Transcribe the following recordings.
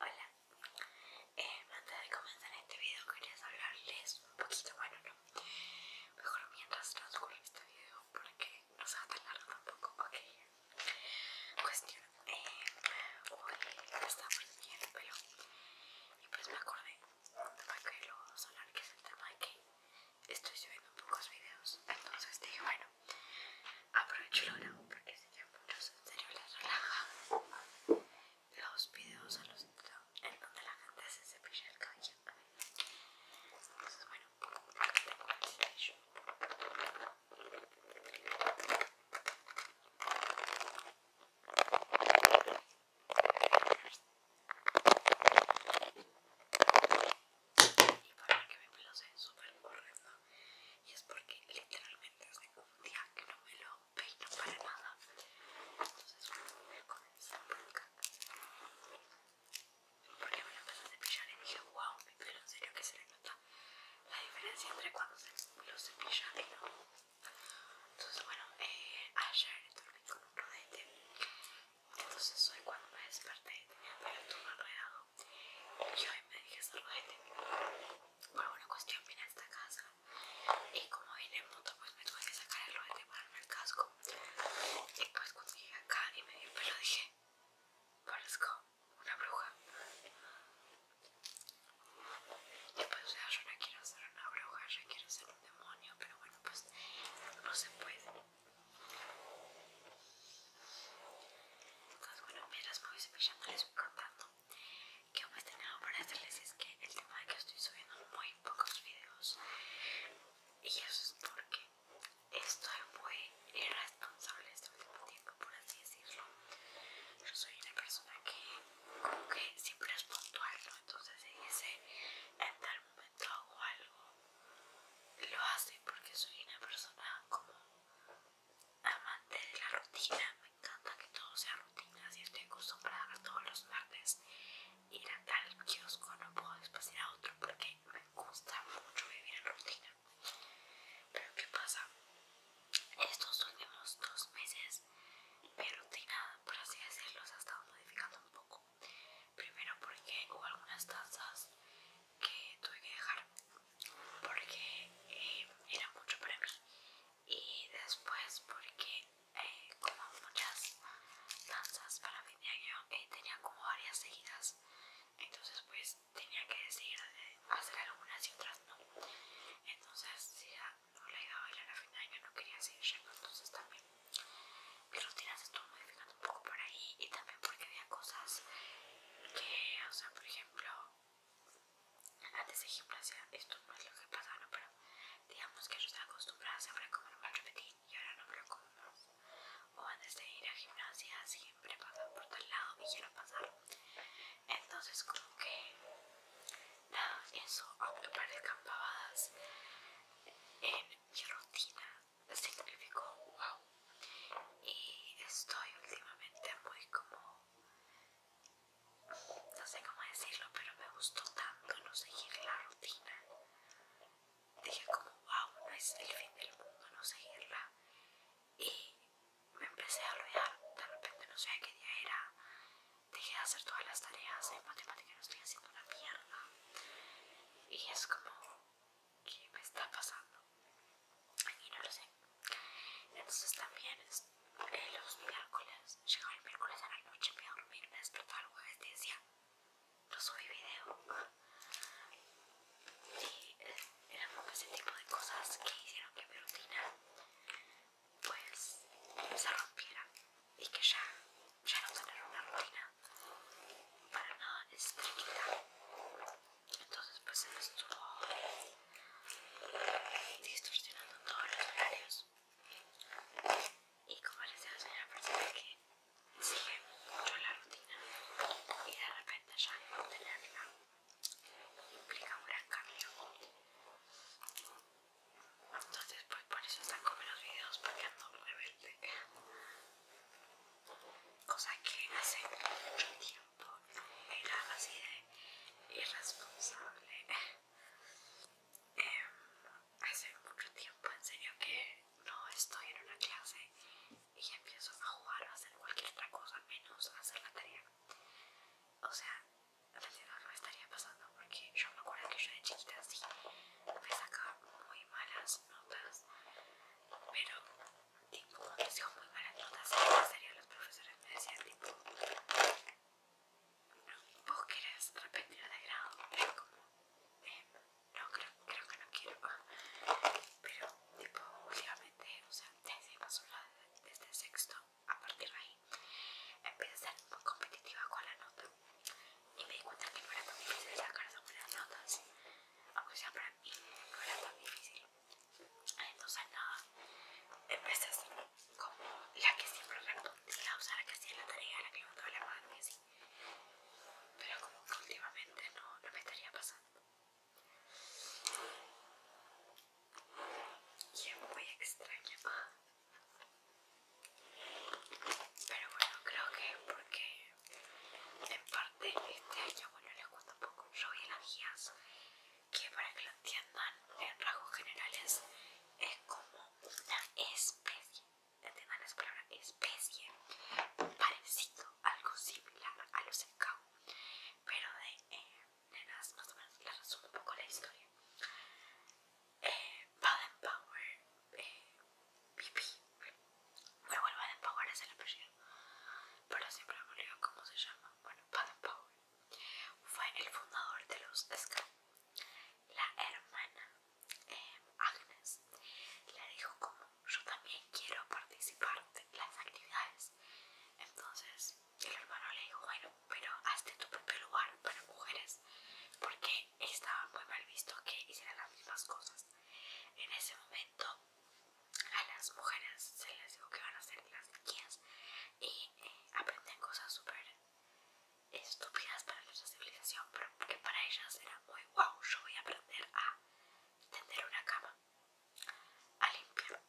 Hola, eh, antes de comenzar este video quería hablarles un poquito, bueno no, mejor mientras transcurre este video porque no se va tan largo tampoco, ok. Cuestión, eh, hoy está muy el pelo y pues me acordé para que lo hablar que es el tema de que estoy subiendo pocos videos, entonces dije bueno. Aprovecho el grabo porque si que muchos en serio les relaja los videos en, donde la gente hace cepilla el cabello. Entonces, bueno, acá tengo el cepillo. Y para que mi pelo se vea súper correcto y es porque literalmente hace un día que no me lo peino para nada entonces voy a comenzar por acá porque me lo empecé a cepillar y dije wow mi pelo en serio que se le nota la diferencia entre cuando se lo cepilla y no entonces bueno eh, ayer dormí con un rodete entonces hoy cuando me desperté tenía el pelo todo yo me dije solo Bueno, por una cuestión vine a esta casa y como vine en moto pues me tuve que sacar el de para el casco y pues cuando llegué acá y me di dije parezco una bruja y pues o sea yo no quiero ser una bruja yo quiero ser un demonio pero bueno pues no se puede las colombianas me voy cepillándoles Que contando. Que más tengo para hacerles es que el tema de que estoy subiendo muy pocos videos. Y eso es porque estoy muy irresponsable este último tiempo, por así decirlo. Yo soy una persona que, como que siempre es puntual, ¿no? Entonces si dice en tal momento hago algo. Lo hace porque soy una persona como amante de la rutina, me encanta que todo sea rutina, si estoy acostumbrada a todos los martes ir a tal kiosco, no puedo después a otro porque me gusta mucho vivir en rutina. Pero ¿qué pasa? Estos últimos dos meses mi rutina, por así decirlo, se ha estado modificando un poco. Primero porque hubo algunas tazas que tuve que dejar porque eh, era mucho para mí y después porque eh, como muchas danzas para fin de año eh, tenía como varias seguidas entonces pues tenía que decidir hacer algunas y otras no entonces si ya no la iba a bailar a fin de año no quería seguir entonces también mi rutina se estuvo modificando un poco por ahí y también porque había cosas que, o sea, por ejemplo, antes de gimnasia, esto no es lo que pasaba, Pero digamos que yo estaba acostumbrada siempre a comer repetir y ahora no me lo como más. O antes de ir a gimnasia, siempre pasaba por tal lado y quiero pasar. Entonces, como que nada, eso, aunque parezcan pavadas, en mi rutina significó wow. Y estoy últimamente muy como, no sé cómo decirlo, pero me gustó tanto no seguir la rutina. Dije como wow, no es el fin del mundo no seguirla. Y me empecé a olvidar, de repente no sé qué día era. Dejé de hacer todas las tareas En matemática, no estoy haciendo una mierda. Y es como, qué me está pasando y no lo sé. Entonces también eh, los miércoles, llegaba el miércoles a la noche, me iba a dormir, me despertaba algo jueves y decía, lo subí video. Y era eran como ese tipo de cosas que hicieron que mi rutina pues se rompiera y que ya, ya no tener una rutina para nada es estricta entonces pues él estuvo distorsionando todos los horarios y como les decía soy una persona que sigue mucho la rutina y de repente ya no tenerla implica un gran cambio entonces pues por eso como los videos porque ando rebelde cosa que hace mucho tiempo era así de irresponsable. Em, hace mucho tiempo, en serio, que no estoy en una clase y empiezo a jugar o a hacer cualquier otra cosa menos hacer la tarea. O sea, la tarea no estaría pasando porque yo me acuerdo que yo de chiquita así me sacaba muy malas notas, pero tipo cuando muy malas notas, en serio los profesores me decían tipo vos querés repetir de grado, pero como eh, no creo, creo que no quiero, pero tipo últimamente, o sea, desde el sexto a partir de ahí empieza a ser muy competitiva con la nota y me di cuenta que no era tan difícil sacar algunas notas, aunque sea para mí no era tan difícil. Entonces nada, empecé así, como la que siempre respondía, o sea la que hacía la tarea, la que mandaba la mano y así. Pero como que últimamente no, no me estaría pasando. Y es muy extraño. Pero bueno, creo que porque en parte este año, bueno, les cuento un poco. Yo las guías, que para que lo entiendan en rasgos generales, es como una especie, de esa palabra, especie, parecido, algo similar a los escabos. Pero de eh, más o menos les resumo un poco la historia eh, Baden Power eh, Bueno, el Power es el apellido, pero siempre me cómo se llama. Bueno, Baden Power fue el fundador de los Ska. La hermana eh, Agnes le dijo como yo también quiero participar de las actividades. Entonces el hermano le dijo, bueno, pero hazte tu propio lugar para mujeres, porque estaba muy mal visto que hicieran las mismas cosas. En ese momento a las mujeres se les dijo que van a hacer las y eh, aprenden cosas súper estúpidas para nuestra civilización, pero que para ellas era muy wow, yo voy a aprender a tender una cama, a limpiar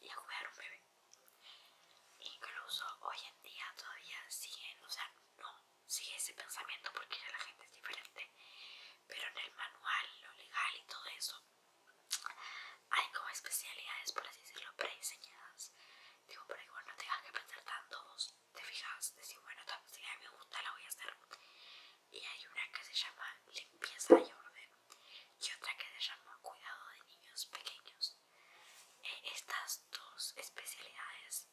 y a cuidar un bebé. Incluso hoy en día todavía siguen, o sea, no sigue ese pensamiento porque ya la gente es diferente, pero en el manual, lo legal y todo eso, hay como especialidades, por así decirlo, prediseñadas. Digo, por igual no tengas que pensar tanto, vos te fijas, decís, bueno, Si me gusta, la voy a hacer. Y hay una que se llama limpieza y orden y otra que se llama cuidado de niños pequeños. Eh, estas dos especialidades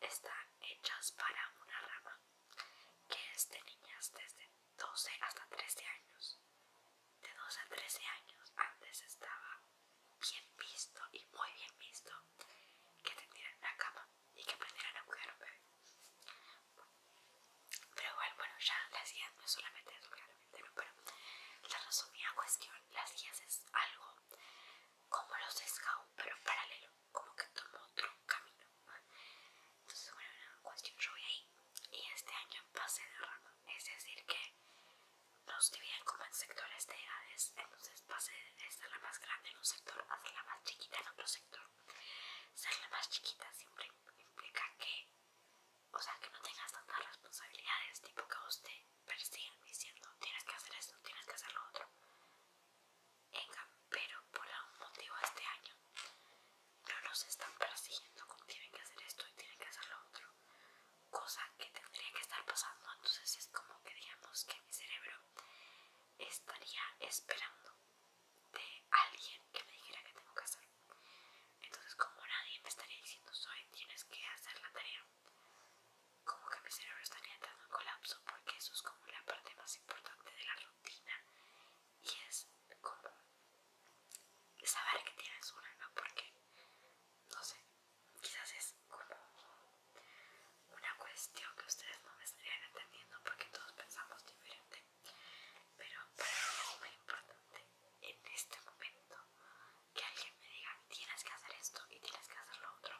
están hechas para una rama, que es de niñas desde 12 hasta 13 años. De 12 a 13 años antes estaba bien visto y muy bien visto que tendieran una cama y que aprendieran a cuidar a un bebé. Pero bueno, ya las guías no es solamente eso claramente, pero la resumida cuestión, las guías es algo como los scouts, pero paralelo, como que tomo otro camino. Entonces, bueno, una cuestión, yo ahí y este año pasé de rama, es decir, que nos dividen como en sectores de edades, entonces pase de la más grande en un sector a ser la más chiquita en otro sector. Ser la más chiquita siempre implica que, o sea, que no tengas tantas responsabilidades, tipo que usted usted persiguen diciendo tienes que hacer esto, tienes que hacer lo otro. pero por algún motivo este año no nos están persiguiendo como tienen que hacer esto y tienen que hacer lo otro. Cosa que tendría que estar pasando, entonces es como que digamos que mi cerebro estaría esperando de alguien que me dijera que tengo que hacer. Entonces como nadie me estaría diciendo soy tienes que hacer la tarea, como que mi cerebro estaría entrando en colapso porque eso es como la parte más importante de la rutina y es como saber que tienes una, ¿no? Porque, no sé, quizás es como una cuestión que ustedes no me estarían entendiendo porque todos pensamos diferente, pero para mí es muy importante en este momento que alguien me diga tienes que hacer esto y tienes que hacer lo otro,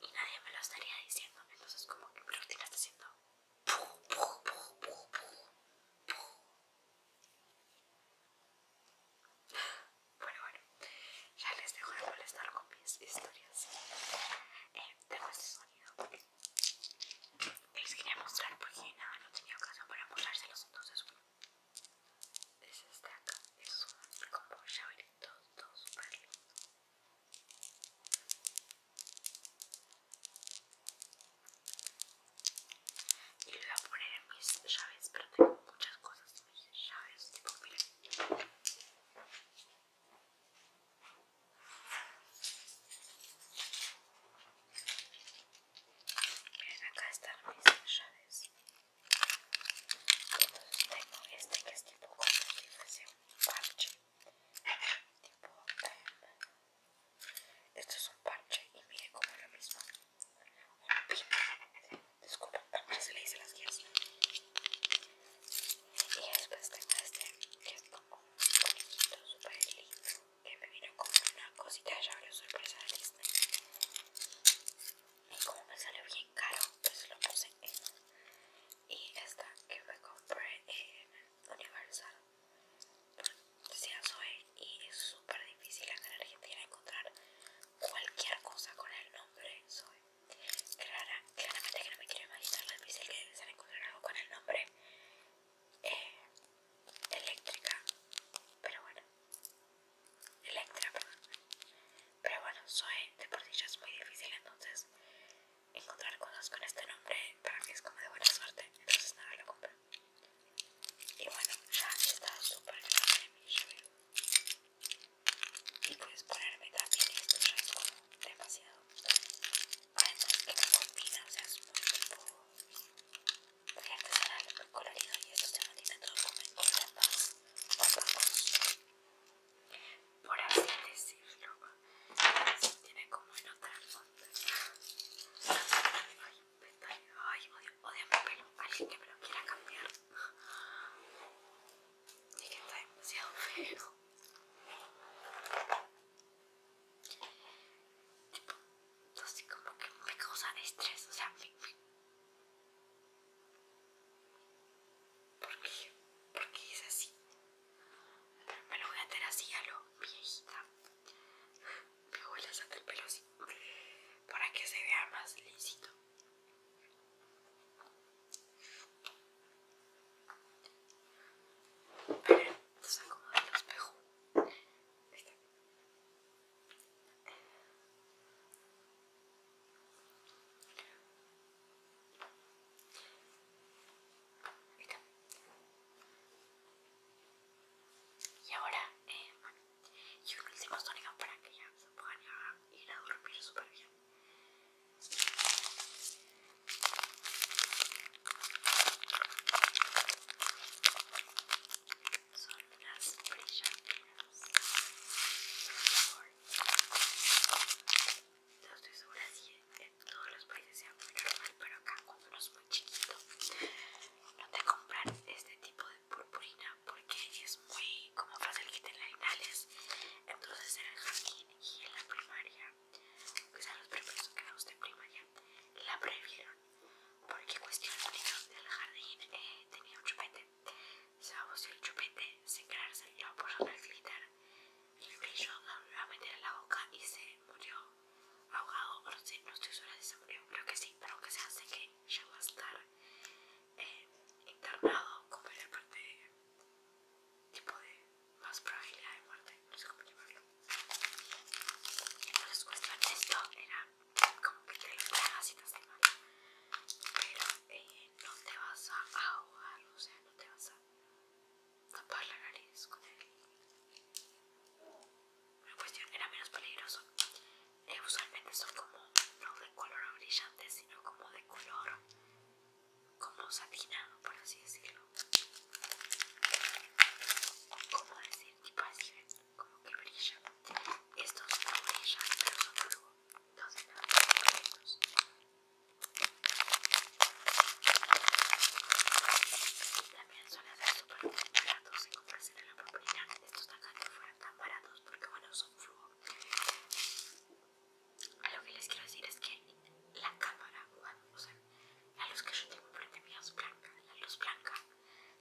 y nadie me lo estaría diciendo, entonces como que mi rutina está haciendo Bueno, bueno, ya les dejo de molestar con mis historias. Eh, de este sonido les quería mostrar porque pues, nada, no tenía ocasión para mostrárselos, entonces de acá. es un como llaveritos todo super lindo y lo voy a poner en mis llaves pero tengo muchas cosas en mis llaves tipo miren miren acá están mis llaves entonces tengo este que es tipo como si fuese un parche. Tipo, eh, esto es un parche y mire como la lo mismo. Un pin. se le dice las guías. Y después tengo este que es como un bonito, súper lindo, que me vino como una cosita ya llavero sorpresa de Disney. Y como me salió bien caro, pues lo puse en. Y esta que me compré en Universal. Decía Zoe, y es súper difícil en Argentina encontrar cualquier cosa con el nombre Zoe. claramente que no me quiero imaginar lo difícil que debe ser encontrar algo con el nombre eh, eléctrica. Pero bueno, Electra, perdón. Pero bueno, soy de por sí ya es muy difícil entonces encontrar cosas con este nombre para que es como de buena suerte. Entonces nada, lo compro. Y bueno, ya está súper grande mi Y puedes ponerme también esto ya es como demasiado. Además que me combina, o sea, es muy muy artesanal, muy colorido y esto ya no todo como en más opacos por así decirlo tiene como en otra onda ay, pestaña, ay, odio, odio mi pelo alguien que me lo quiera cambiar y que está demasiado feo tipo, entonces como que me causa estrés, o sea, porque ¿por qué? ¿Por qué es así? me lo voy a hacer así a lo viejita. Me voy a hacer el pelo así, para que se vea más lisito. Pero, entonces, pues, como el espejo. Y ahora, eh, y un último para que ya se a ir a dormir súper bien son las brillantinas. No estoy segura si en todos los países sea muy normal, pero acá cuando uno es muy chiquito no te compran este tipo de purpurina porque es muy como para el kit en Entonces en el jardín y en la primaria, quizás los primeros que usted primaria, la prohibieron porque cuestión del jardín eh, tenía un chupete se vació el chupete sin querer salió por el glitter el brillo lo iba a meter en la boca y se murió ahogado no sé, no estoy segura si se murió creo que sí, pero aunque se hace que ya va a estar eh, internado como en la parte tipo de más probabilidad de muerte no sé cómo llamarlo entonces, pues, cuestión de esto era como que te lo tragas y te Pero eh, no te vas a ahogar, o sea, no te vas a tapar la nariz con él. Una cuestión era menos peligroso. Eh, usualmente son como, no de color brillante, sino como de color como satinado, por así decirlo. ¿Cómo decir? Tipo así, como que brilla. Estos no brillan, pero son algo. No sé También suelen ser súper baratos en comparación en la propiedad. Estos acá no fueron tan baratos porque, bueno, son fluos lo que les quiero decir es que la cámara, bueno, o la luz que yo tengo frente mía es blanca. La luz blanca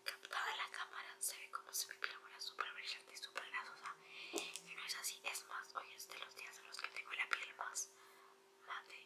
captada de la cámara se ve como si mi piel fuera súper brillante y súper grasosa. Y no es así, es más, hoy es de los días en los que tengo la piel más mate.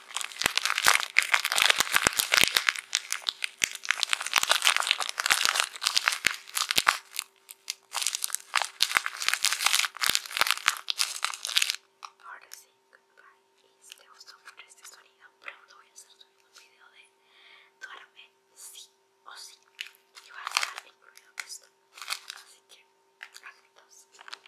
Ahora sí, goodbye. Y si te gustó mucho este sonido, pronto voy a hacer un video de duerme sí o sí. Y va a estar incluido esto. Así que, adiós.